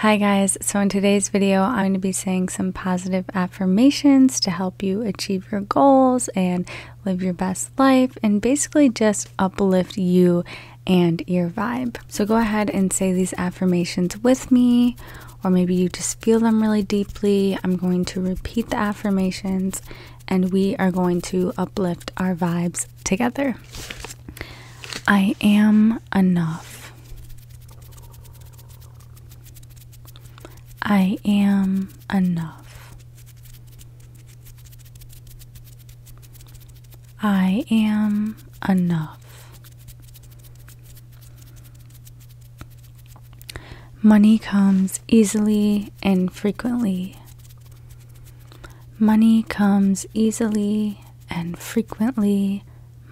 Hi guys, so in today's video, I'm going to be saying some positive affirmations to help you achieve your goals and live your best life and basically just uplift you and your vibe. So go ahead and say these affirmations with me, or maybe you just feel them really deeply. I'm going to repeat the affirmations and we are going to uplift our vibes together. I am enough. I am enough. I am enough. Money comes easily and frequently. Money comes easily and frequently.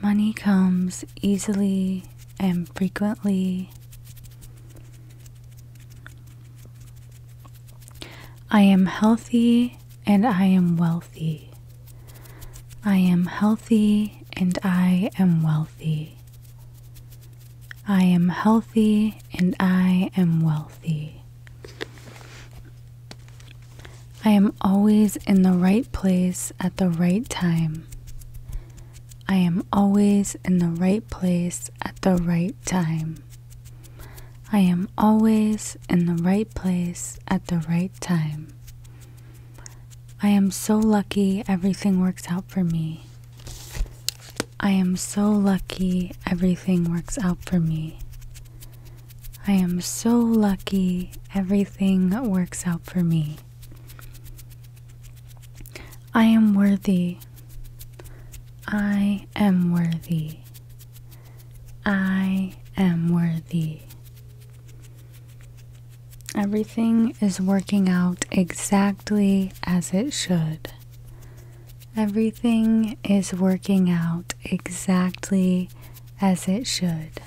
Money comes easily and frequently. I am healthy and I am wealthy. I am healthy and I am wealthy. I am healthy and I am wealthy. I am always in the right place at the right time. I am always in the right place at the right time. I am always in the right place at the right time. I am so lucky everything works out for me. I am so lucky everything works out for me. I am so lucky everything works out for me. I am worthy. I am worthy. I am worthy. Everything is working out exactly as it should. Everything is working out exactly as it should.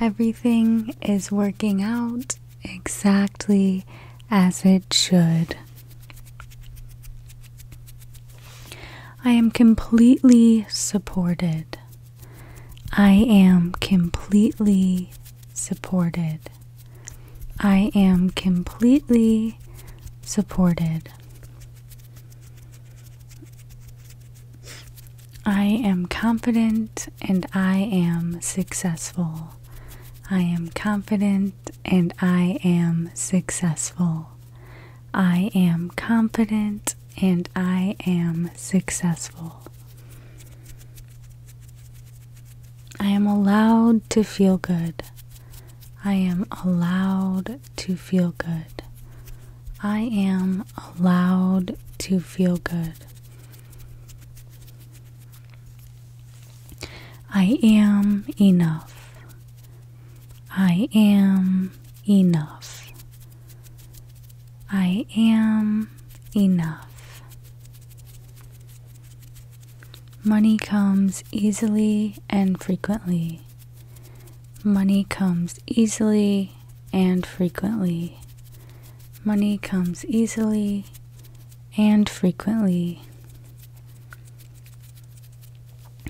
Everything is working out exactly as it should. I am completely supported. I am completely supported. I am completely supported. I am confident and I am successful. I am confident and I am successful. I am confident and I am successful. I am allowed to feel good. I am allowed to feel good. I am allowed to feel good. I am enough. I am enough. I am enough. Money comes easily and frequently. Money comes easily and frequently. Money comes easily and frequently.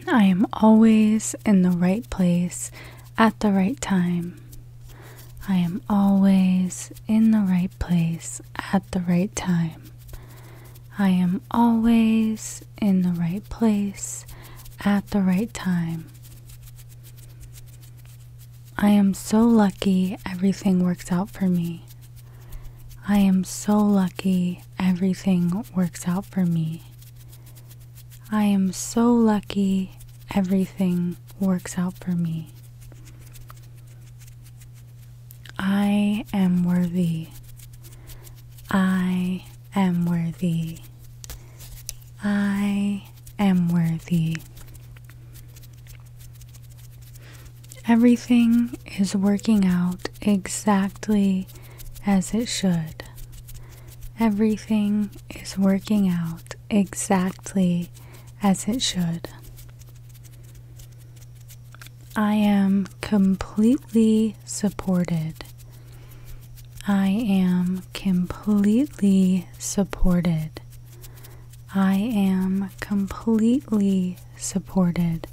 I am always in the right place at the right time. I am always in the right place at the right time. I am always in the right place at the right time. I am so lucky everything works out for me. I am so lucky everything works out for me. I am so lucky everything works out for me. I am worthy. I am worthy. I am worthy. Everything is working out exactly as it should. Everything is working out exactly as it should. I am completely supported. I am completely supported. I am completely supported.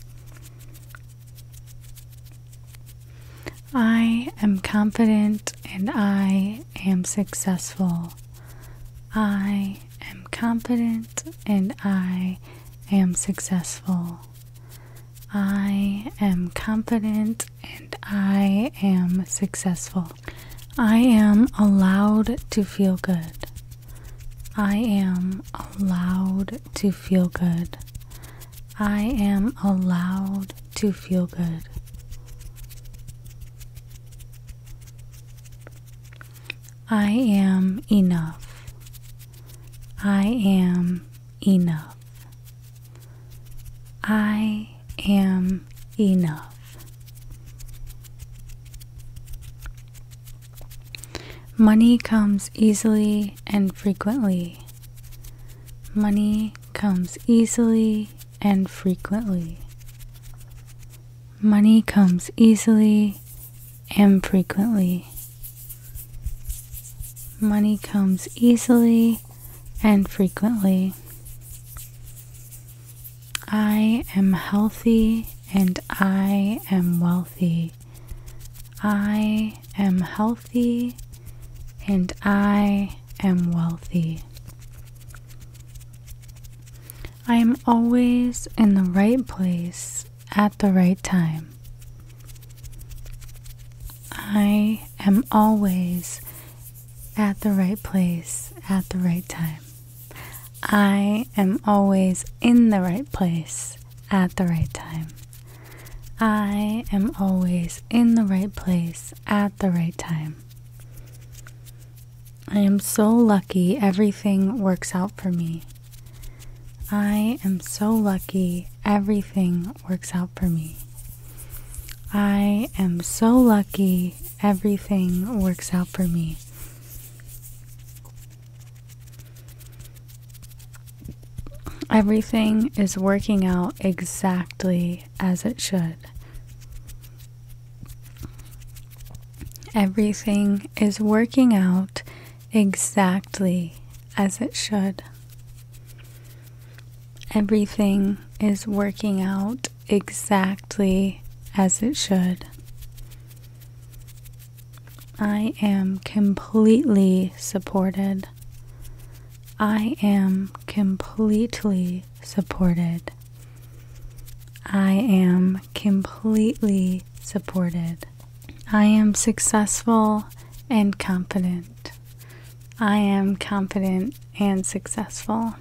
I am confident and I am successful. I I am competent and I am successful. I am competent and I am successful. I am allowed to feel good. I am allowed to feel good. I am allowed to feel good. I am enough. I am enough. I am enough. Money comes easily and frequently. Money comes easily and frequently. Money comes easily and frequently. Money comes easily and frequently. I am healthy and I am wealthy. I am healthy and I am wealthy. I am always in the right place at the right time. I am always at the right place at the right time. I am always in the right place at the right time. I am always in the right place at the right time. I am so lucky everything works out for me. I am so lucky everything works out for me. I am so lucky everything works out for me. Everything is working out exactly as it should. Everything is working out exactly as it should. Everything is working out exactly as it should. I am completely supported. I am completely supported. I am completely supported. I am successful and confident. I am confident and successful.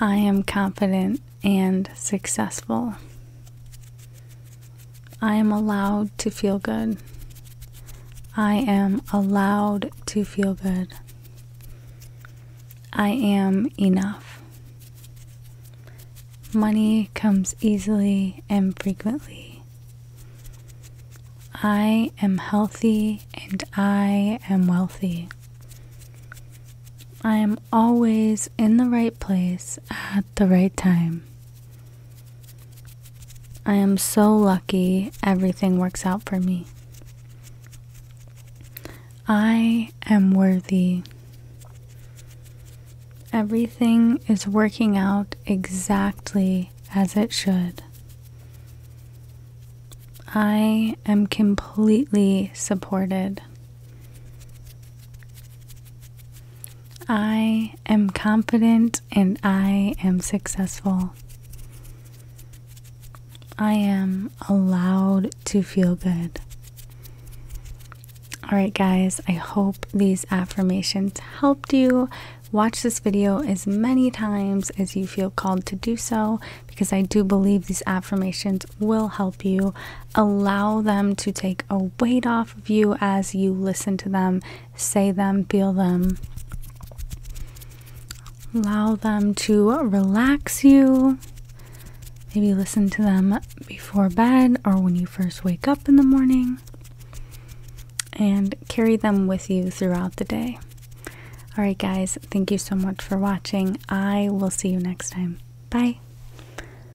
I am confident and successful. I am allowed to feel good. I am allowed to feel good. I am enough. Money comes easily and frequently. I am healthy and I am wealthy. I am always in the right place at the right time. I am so lucky everything works out for me. I am worthy. Everything is working out exactly as it should. I am completely supported. I am confident and I am successful. I am allowed to feel good. All right, guys, I hope these affirmations helped you. Watch this video as many times as you feel called to do so because I do believe these affirmations will help you. Allow them to take a weight off View as you listen to them, say them, feel them. Allow them to relax you. Maybe listen to them before bed or when you first wake up in the morning. And carry them with you throughout the day. Alright, guys, thank you so much for watching. I will see you next time. Bye.